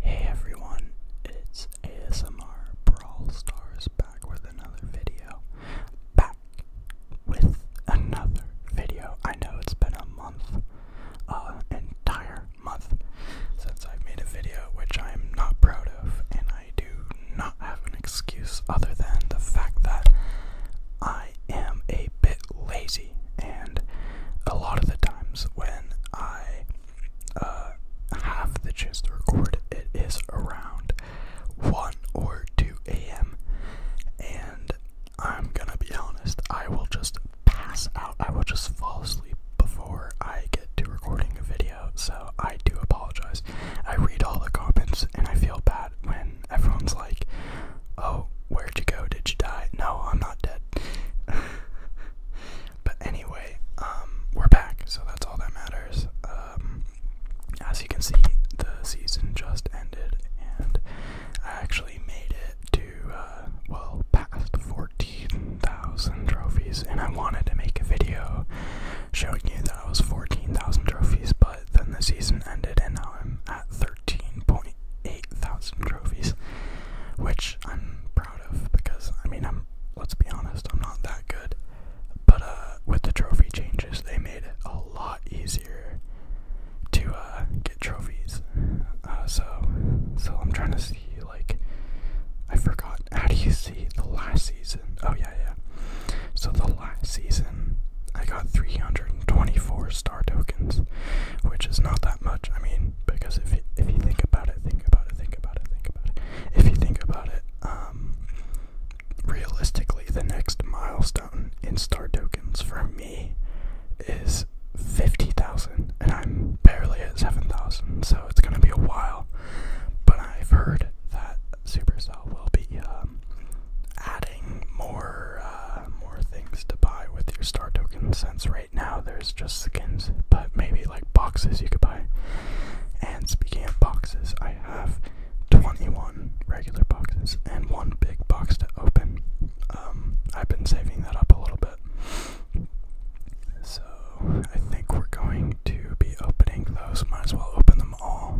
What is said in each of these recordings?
Hey everyone, it's ASMR Brawl Stars back with another video. Back with another video. I know it's been a month, uh, entire month since I've made a video, which I am not proud of, and I do not have an excuse other than the fact that I am a bit lazy. And a lot of the times when I uh, have the chance to record, it is around 1 or 2 a.m. And I'm gonna be honest, I will just pass out, I will just fall asleep before I get to recording a video. So I do apologize. I read all the comments and I feel bad when everyone's like, oh, where'd you go? Did you die? No, I'm not dead. but anyway, um, we're back, so that's all that matters. Um, as you can see, the season just ended, and I actually made it to, uh, well, past 14,000 trophies, and I wanted to make a video showing you that I was 14,000 trophies, but then the season ended, and now I'm at 13.0. 8,000 trophies, which I'm proud of because I mean I'm let's be honest, I'm not that good. But uh with the trophy changes, they made it a lot easier to uh get trophies. Uh so so I'm trying to see like I forgot how do you see the last season? Oh yeah, yeah. So the last season I got 324 star tokens, which is not that much. I mean, because if you, if you think about it, think about it, think about it, think about it. If you think about it, um, realistically, the next milestone in star tokens for me is 50,000, and I'm barely at 7,000, so it's gonna be a while. But I've heard that Supercell will be um, adding more uh, more things to buy with your star tokens since now there's just skins, but maybe like boxes you could buy. And speaking of boxes, I have 21 regular boxes and one big box to open. Um, I've been saving that up a little bit. So I think we're going to be opening those. Might as well open them all.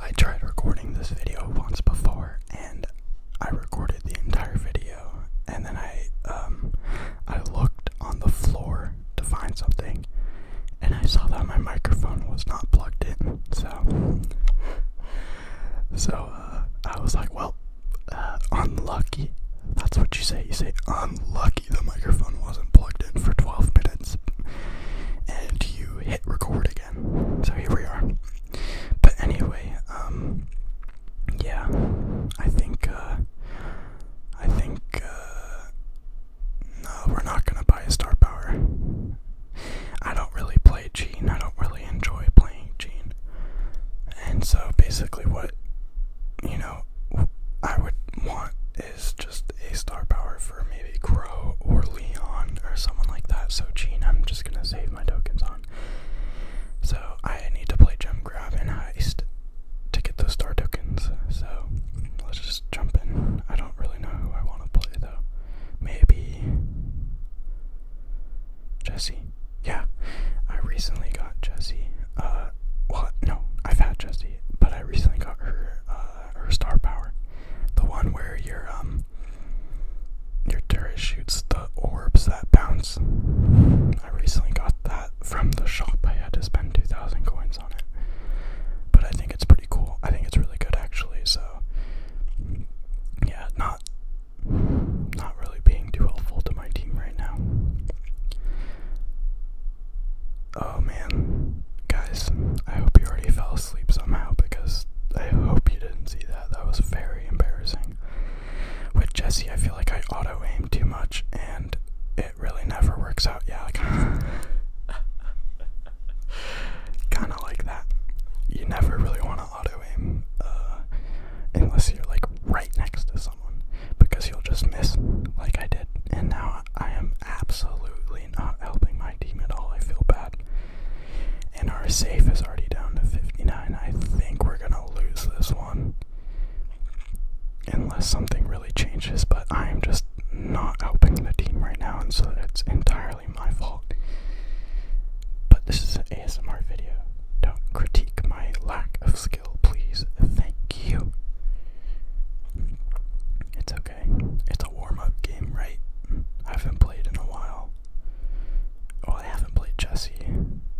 I tried recording this video once before and I recorded the entire video and then I um, I looked on the floor to find something and I saw that my microphone was not plugged in so so uh, I was like well uh, unlucky that's what you say you say unlucky the microphone wasn't plugged in for 12 minutes and you hit record again so here we are but anyway, um, yeah, I think, uh, I think, uh, no, we're not gonna buy a star power. I don't really play Gene, I don't really enjoy playing Gene. And so basically, what, you know, I would want is just a star power for maybe Crow or Leon or someone like that. So, Gene, I'm just gonna save my tokens on. So I need to play jump grab and heist to get those star tokens. So let's just jump in. I don't really know who I want to play though. Maybe Jesse. Yeah, I recently got Jesse. Uh, what? no, I've had Jesse, but I recently got her, uh, her star power, the one where you're um your turret shoots the orbs that bounce. I recently got that from the shop. I had to spend 2,000 coins on it. But I think it's pretty cool. I think it's really good actually. So, yeah, not not really being too helpful to my team right now. Oh man, guys, I hope you already fell asleep somehow because I hope you didn't see that. That was very embarrassing. With Jesse, I feel like I auto aim too much and it really never works out. Yeah, like, kind of like that. You never really want to auto aim uh, unless you're like right next to someone because you'll just miss, like I did. And now I am absolutely not helping my team at all. I feel bad. And our safe is already down to 59. I think we're going to lose this one. Unless something really changes, but I'm just not helping the team right now, and so it's entirely my fault. But this is an ASMR video. Don't critique my lack of skill, please. Thank you. It's okay. It's a warm up game, right? I haven't played in a while. Oh, I haven't played Jesse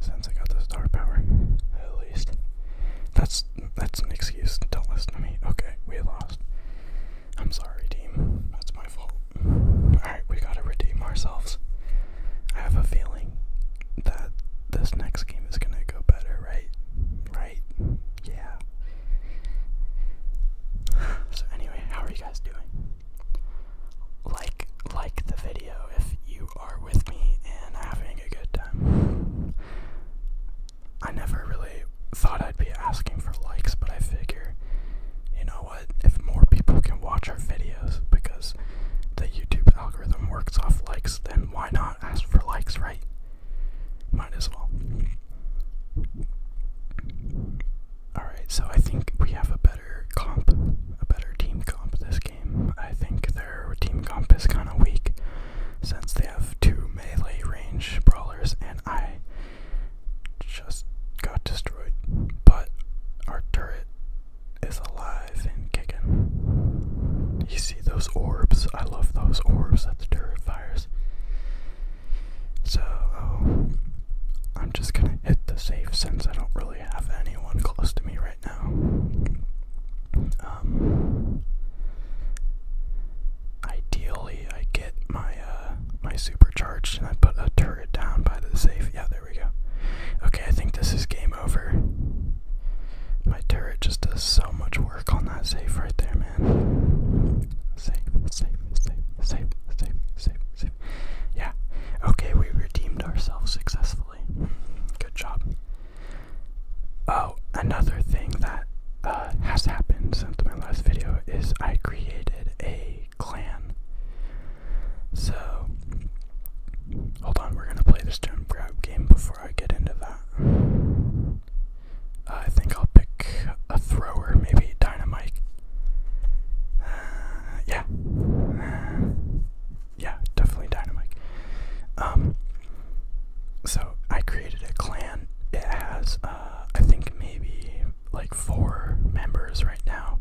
since I got the star power. At least that's that's an excuse. Don't listen to me. Okay, we lost. I'm sorry, team. That's my fault. All right, we gotta redeem ourselves. I have a feeling that this next game is gonna go better, right? Right? Yeah. So anyway, how are you guys doing? like like the video if you are with me and having a good time. I never really thought I'd be asking for likes, but I figure, you know what, if more people can watch our videos because the YouTube algorithm works off likes, then why not ask for likes, right? Might as well. Alright, so I think we have a better better comp, a better team comp this game. I think their team comp is kind of weak since they have two melee range brawlers, and I just got destroyed. But our turret is alive and kicking. You see those orbs? I love those orbs that the turret fires. So oh, I'm just gonna hit the safe since I don't really have anyone close to me right now. Um, ideally, I get my uh, my supercharged and I put a turret down by the safe. Yeah, there we go. Okay, I think this is game over. My turret just does so much work on that safe right there, man. Safe, safe, safe, safe, safe, safe, safe. Yeah. Okay, we redeemed ourselves successfully. Good job. Oh, another thing that uh, has happened since my last video is I created a clan. So, hold on, we're gonna play this jump grab game before I get into that. I think I'll pick a, thrower, maybe dynamite. yeah, yeah, definitely dynamite. Um, so I created a clan. It has, uh, I think maybe like four members right now.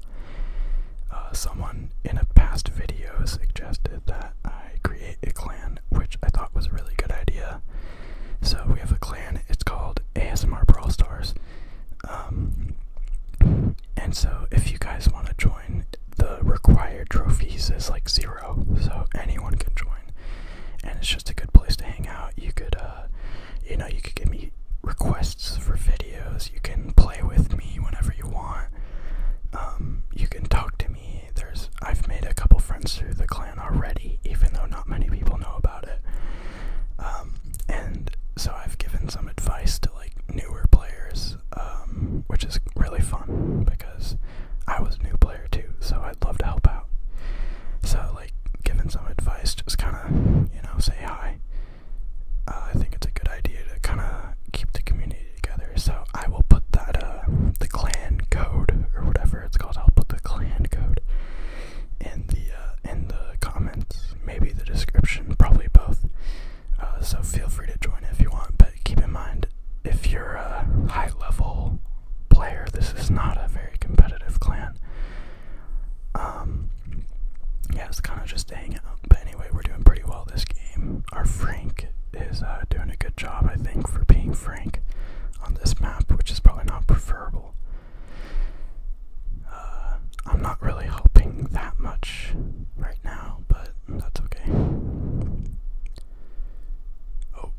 Uh, someone in a past video suggested that I create a clan, which I thought was a really good idea. So we have a clan. It's called ASMR Brawl Stars. Um, and so, if you guys want to join, the required trophies is like zero, so anyone can join. And it's just a good place to hang out. You could, uh, you know, you could give me requests for videos. You can play with me whenever you want. Um, you can talk to me. There's I've made a couple friends through the clan already, even though not many people know about it. Um, and so I've given some advice to like newer players, um, which is really fun because I was a new player too, so I'd love to help out. So like giving some advice, just kind of you know say hi. Uh, I think it's a good idea to kind of keep the community together. So I will put that uh, the clan code or whatever it's called. I'll put the clan code in the uh, in the comments, maybe the description, probably both. Uh, so feel free to join if you want, but keep in mind if you're a high level player, this is not a very competitive clan. Um, yeah, it's kind of just hanging out. But anyway, we're doing pretty well this game. Our Frank is uh, doing a good job, I think, for being Frank on this map, which is probably not preferable. Uh, I'm not really hoping that much right now, but that's okay. Oh,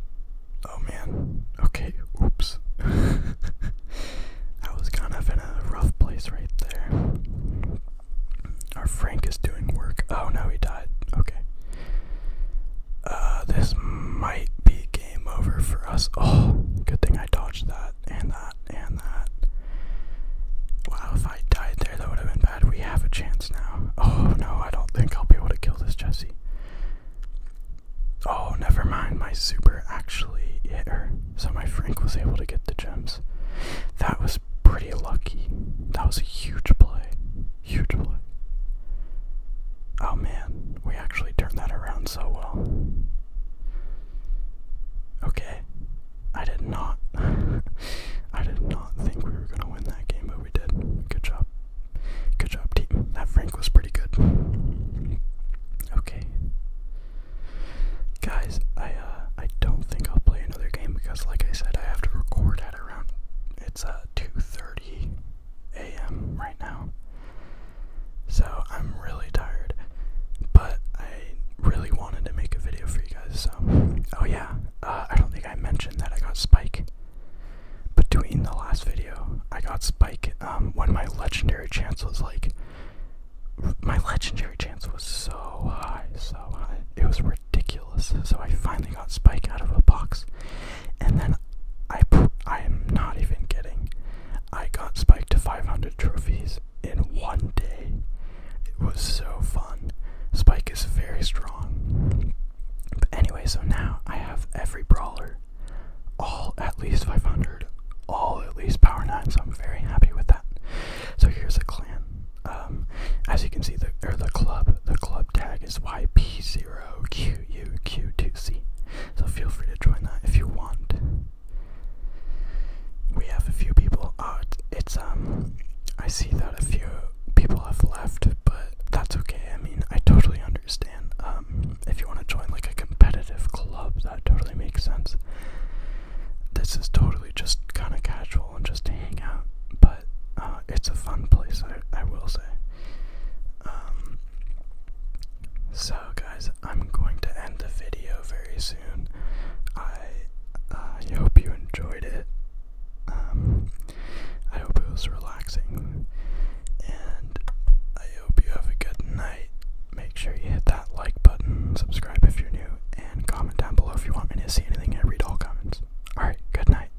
oh man. Okay, oops. I was kind of in a rough place right there. Our Frank is doing work. Oh no, he died. Okay. Uh, this might be game over for us. Oh, good thing I dodged that and that and that. Wow, if I died there, that would have been bad. We have a chance now. Oh no, I don't think I'll be able to kill this Jesse. Oh, never mind. My super actually hit her, so my Frank was able to get the gems. That was pretty lucky. That was a huge play. Huge play. Oh man, we actually turned that around so well. Okay. I did not I did not think we were gonna win that game, but we did. Good job. Good job, team. That Frank was pretty good. Okay. Guys, I uh I don't think I'll play another game because like I said I have to record at around it's uh two thirty a.m. right now. So I'm really tired, but I really wanted to make a video for you guys. So, oh yeah, uh, I don't think I mentioned that I got Spike between the last video. I got Spike um, when my legendary chance was like, my legendary chance was so high, so high. It was ridiculous. So I finally got Spike out of a box, and then I put. I am not even kidding. I got spiked to 500 trophies in one day. It was so fun. Spike is very strong. But anyway, so now I have every brawler, all at least 500, all at least power 9, so I'm very happy with that. So here's a clan. Um, as you can see, the or the club, the club tag is YP0 quq 2 c So feel free to join that if you want. We have a few people out. Uh, it's um I see that a few people have left, but that's okay. I mean, I totally understand. Um if you want to join like a competitive club, that totally makes sense. This is totally just kind of casual and just to hang out, but uh, it's a fun place, I, I will say. Um, so, guys, I'm going to end the video very soon. I hope you enjoyed it. Um, I hope it was relaxing, and I hope you have a good night. Make sure you hit that like button, subscribe if you're new, and comment down below if you want me to see anything. I read all comments. All right, good night.